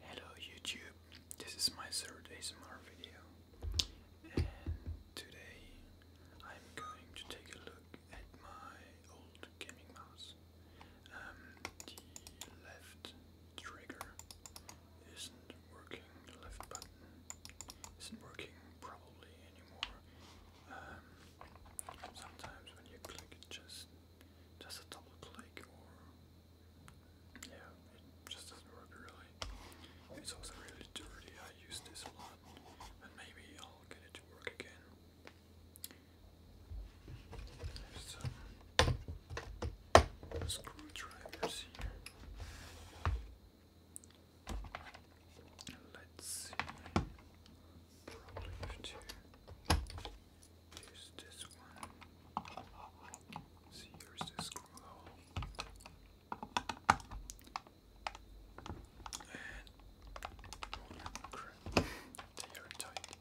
Hello YouTube, this is my third ASMR video and today I'm going to take a look at my old gaming mouse. Um, the left trigger isn't working, left button isn't working probably anymore. Um, Sometimes when you click it just just a double click or yeah, it just doesn't work really. It's also really dirty, I use this one, lot, maybe I'll get it to work again. some screwdrivers here. Let's see. Probably have to use this one. See, here's the screw hole. And holy crap, they are tight.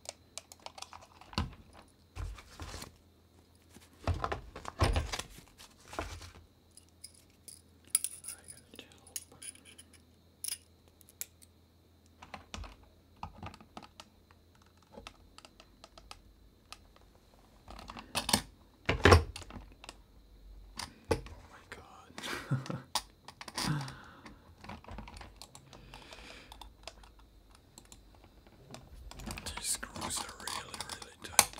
I got Oh my god. These screws are really, really tight.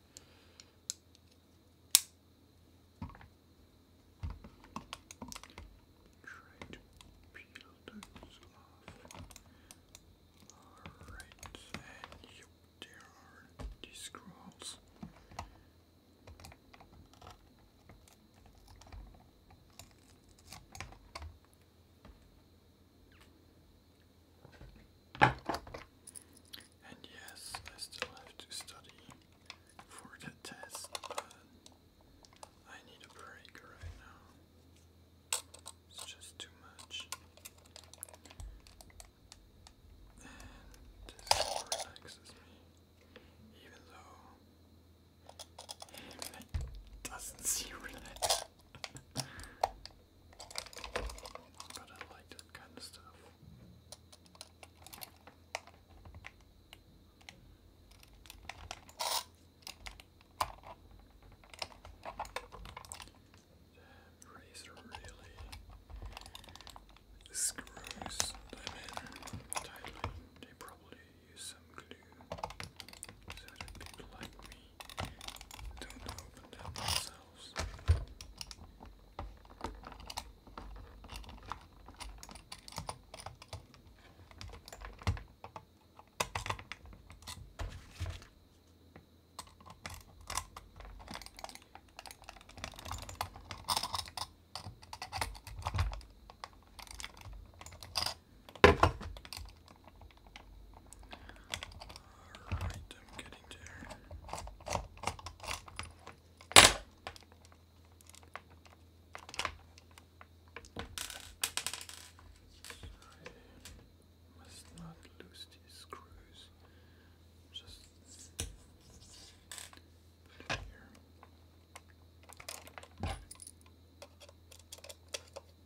Try to peel those off. Alright, and there are these scrolls. And yes, I still have to study for the test, but I need a break right now. It's just too much. And this relaxes me, even though it doesn't seem relaxed. But I like that kind of stuff. The razor really screws them in tightly. They probably use some glue so people like me don't open them themselves. Alright, I'm getting there. I must not lose these screws. Just put it here.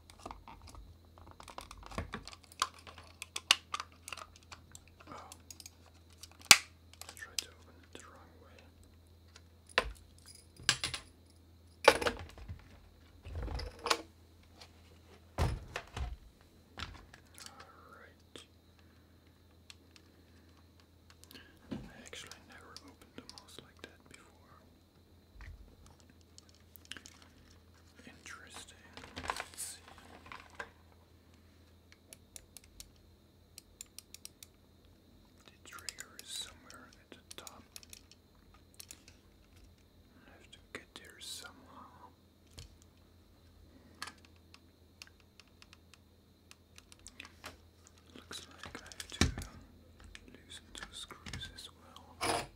Oh, I tried to open it the wrong way. Alright. I never opened a mouse like that before. Interesting. Let's see. The trigger is somewhere at the top. I have to get there somehow. Looks like I have to loosen two screws as well.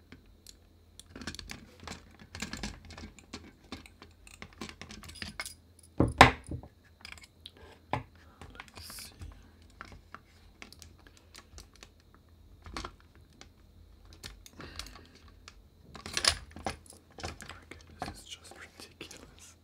Let's see. Okay, this is just ridiculous.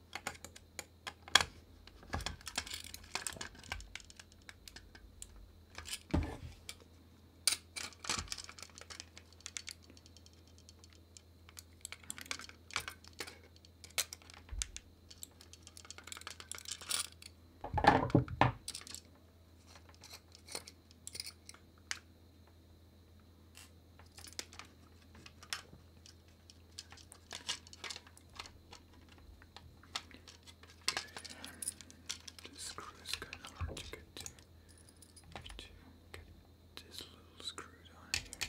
This screw is kind of hard to get to to get this little screw down here.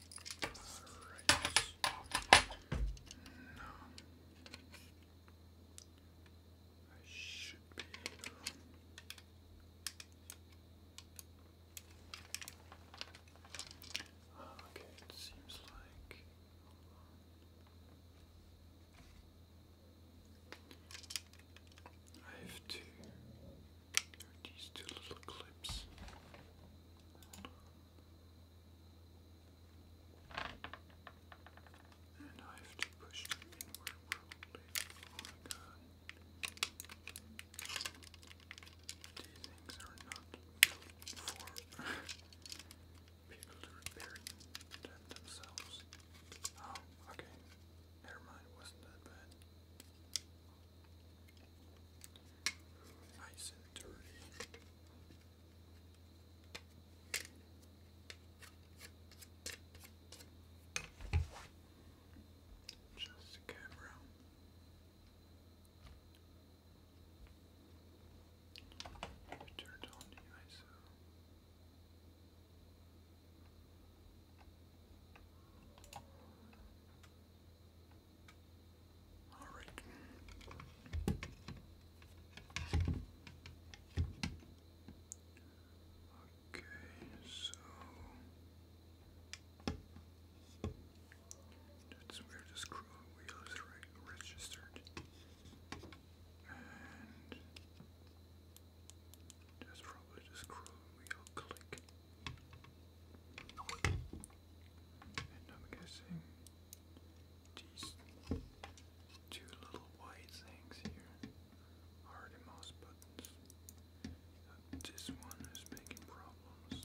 No. I should be okay, seems like. I have to are these two little clips. And I have to push them inward Oh my god. These things are not built for people to repair themselves. Oh, okay. Never mind, wasn't that bad. Nice and dirty. Just the camera. Turned on the ISO. All right. Okay, so that's where the scroll wheel is registered, and that's probably the scroll wheel click. And I'm guessing these two little white things here are the mouse buttons. Uh, this one is making problems.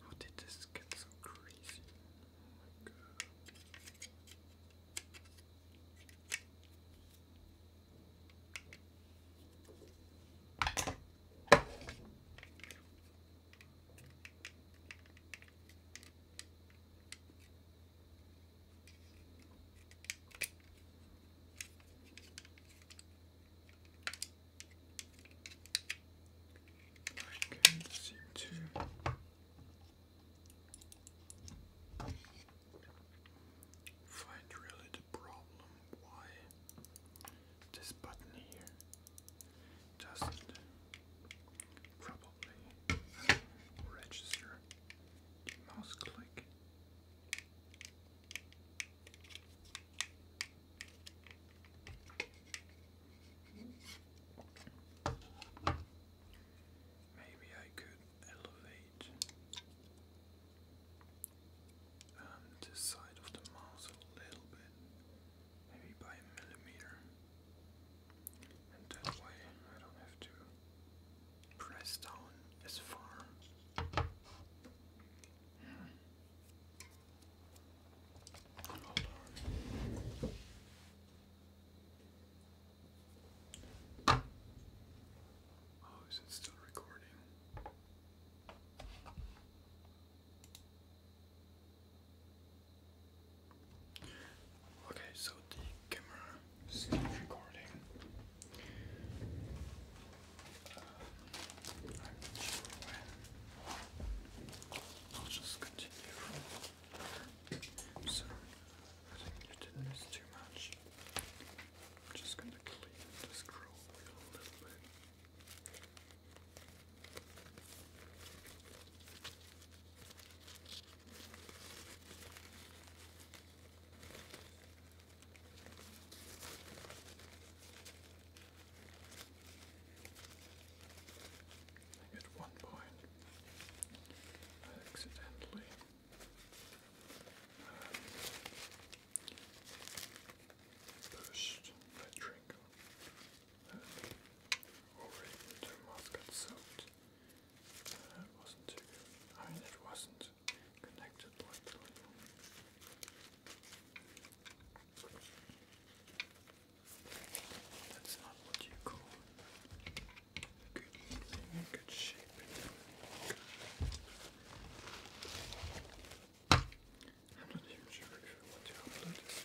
How did this get so crazy? Oh my god. I can't seem to find really the problem why this button here doesn't probably register mouse click. Maybe I could elevate um, the side of the mouse a little bit, maybe by a millimeter, and that way I don't have to press down as far. Hmm. Oh, is it still recording? Okay, so the camera is still recording. Um, I'll just so, I think you didn't miss too much. am just going to clean this scroll a little bit. At one point, I accidentally uh, pushed my drink over into the mouth got uh, it wasn't good. I mean, it wasn't connected like that's not what you call good evening, good shape. I'm not even sure if I want to upload this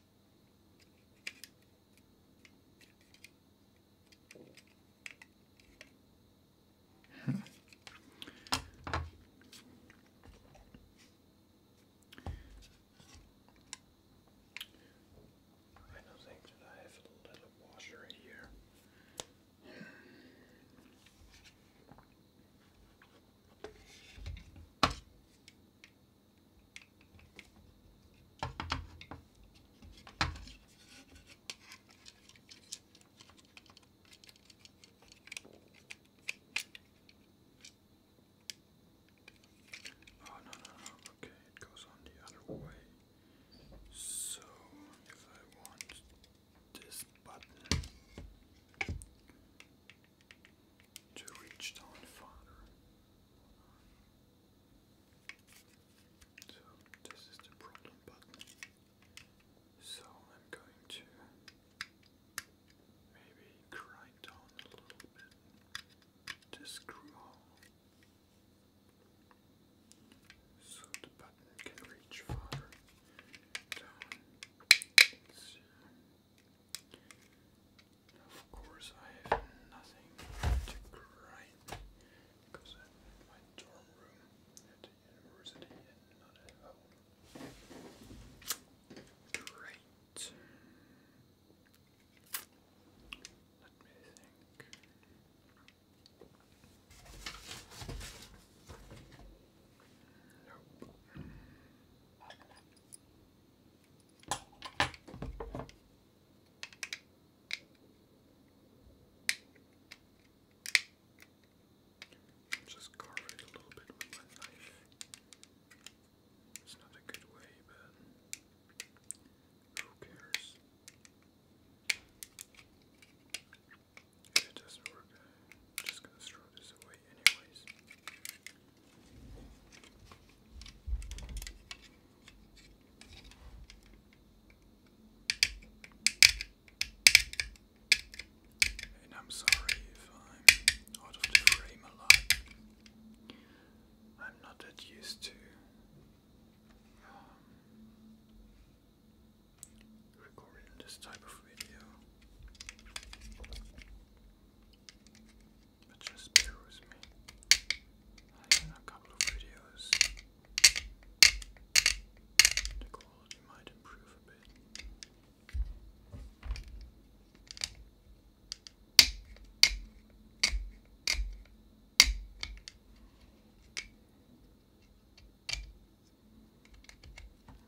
I do have a little washer here. Oh, no, no, no. Okay, it goes on the other way. So, if I want this button, to reach down farther. this is the problem button. So I'm going to maybe grind down a little bit the screw hole so the button can reach farther down. Of course, I have nothing to grind because my dorm room at the university and not at home. Great. Let me think. Just carve it a little bit with my knife. It's not a good way, but who cares? it doesn't work I'm And I'm sorry if I'm out of frame a lot. I'm not that used to um, recording this type of video. But just bear with me. in a couple of videos. The quality might improve a bit.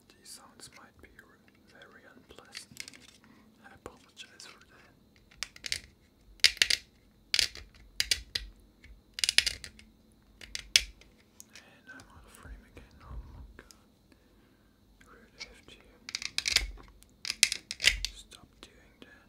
These sounds might be very unpleasant. I apologize for that. And I'm out frame again. Oh my god. Really have to stop doing that.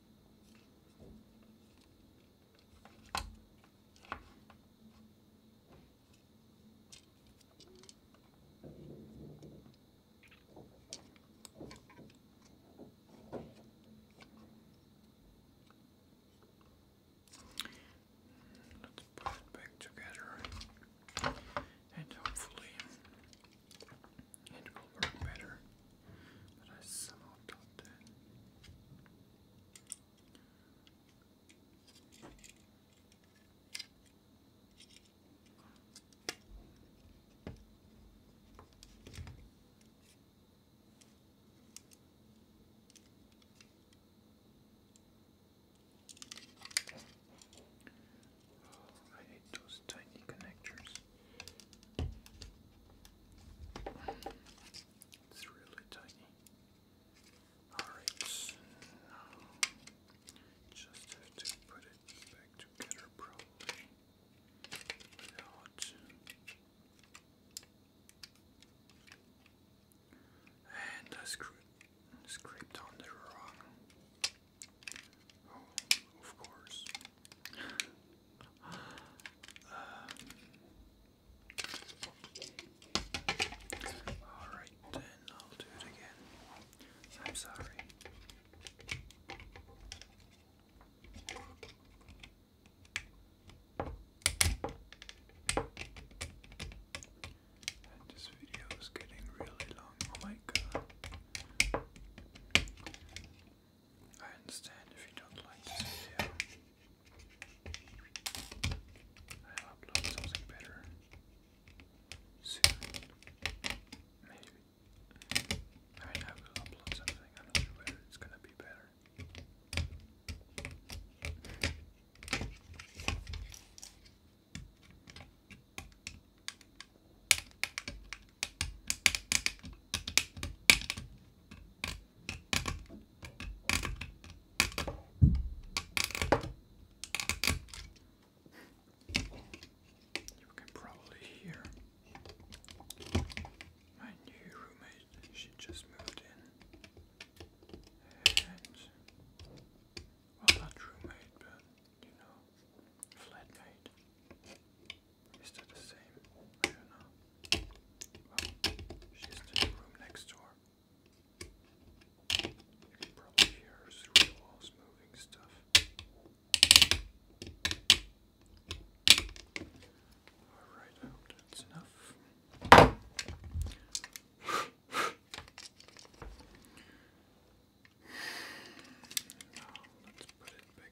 Let's put it back together and hopefully it will work better. But I somehow thought that. I hate those tiny connectors. It's really tiny. Alright, now just have to put it back together probably without and I screwed scraped on the wrong. Oh, of course. Alright then, I'll do it again. I'm sorry. this video is getting really long. Oh my god. I understand if you don't like this video. I'll upload something better soon. Maybe. I will upload something. I'm not it's gonna be better. You can probably hear my new roommate, she just moved in. And not roommate but you know flatmate. Is that the same? I don't know. in the room next door. You can probably hear her the walls moving stuff. Alright, that's enough. Now let's put it back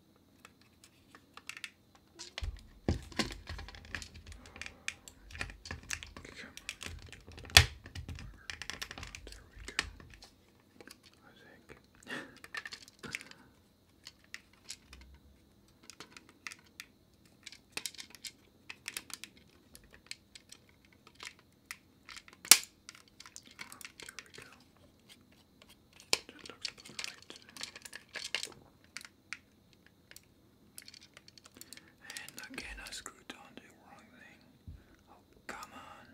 Come on. There we go. I think. oh, there we go. That looks And again, I screwed down the wrong thing. Oh, come on.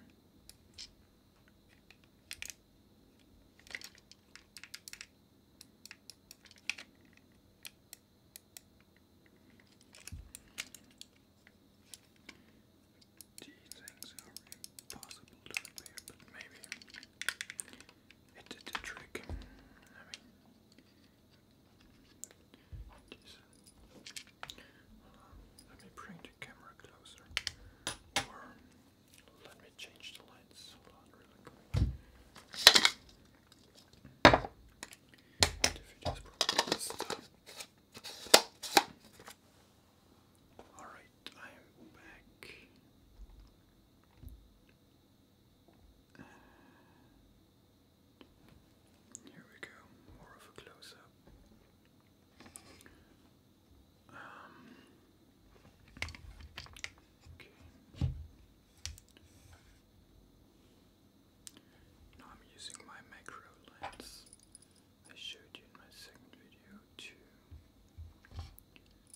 These things are impossible to repair, but maybe it did the trick. I mean, uh, Let me bring the camera closer, or let me change the lights. Hold on, really quick. The video's probably Alright, I am back. Uh, here we go, more of a close up. Um, okay. Now I'm using my macro lens I showed you in my second video to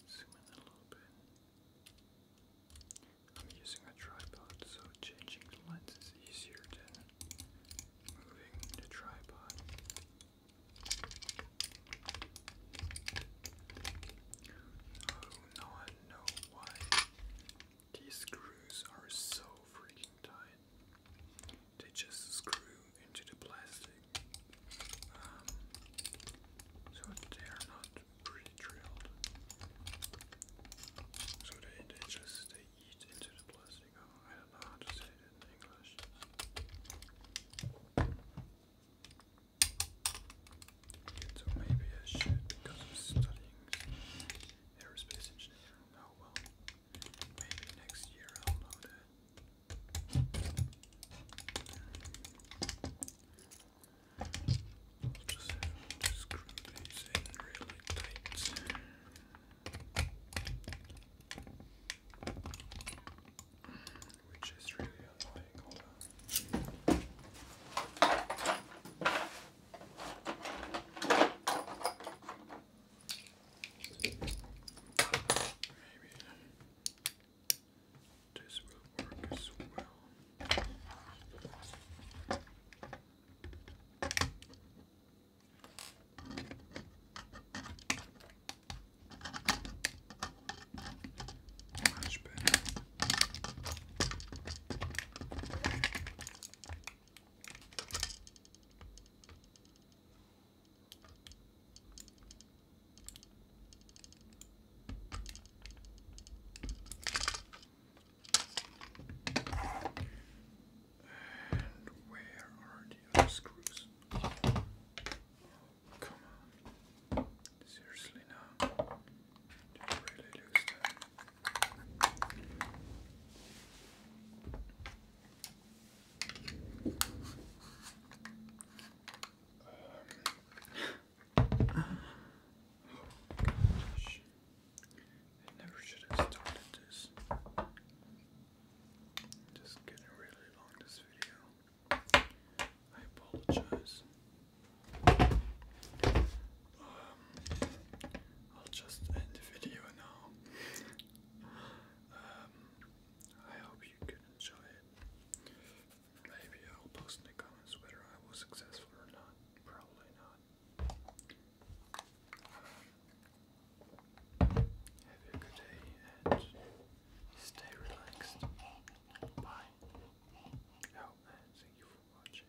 zoom in a little bit. I'm using a tripod, so changing the lens is easier than moving the tripod. Oh, now I know why these screws are so freaking tight. They just screw into the plastic, um, so they are not pretty drilled. So they, just they eat into the plastic. Oh, I don't know how to say it in English. So maybe I should, because I'm studying aerospace engineering. Oh well. Maybe next year I'll load it. i just screw these in really tight. Which is really annoying, this will work as well. Much better. And where are the other screws? Oh, come on. Seriously now. Did I really lose them? I never should have started this. Just getting really long this video. I apologize. Um, I'll just end the video now. Um, I hope you could enjoy it. Maybe I'll post in the comments whether I was successful or not. Probably not. Um, have a good day and stay relaxed. Bye. Oh, and thank you for watching.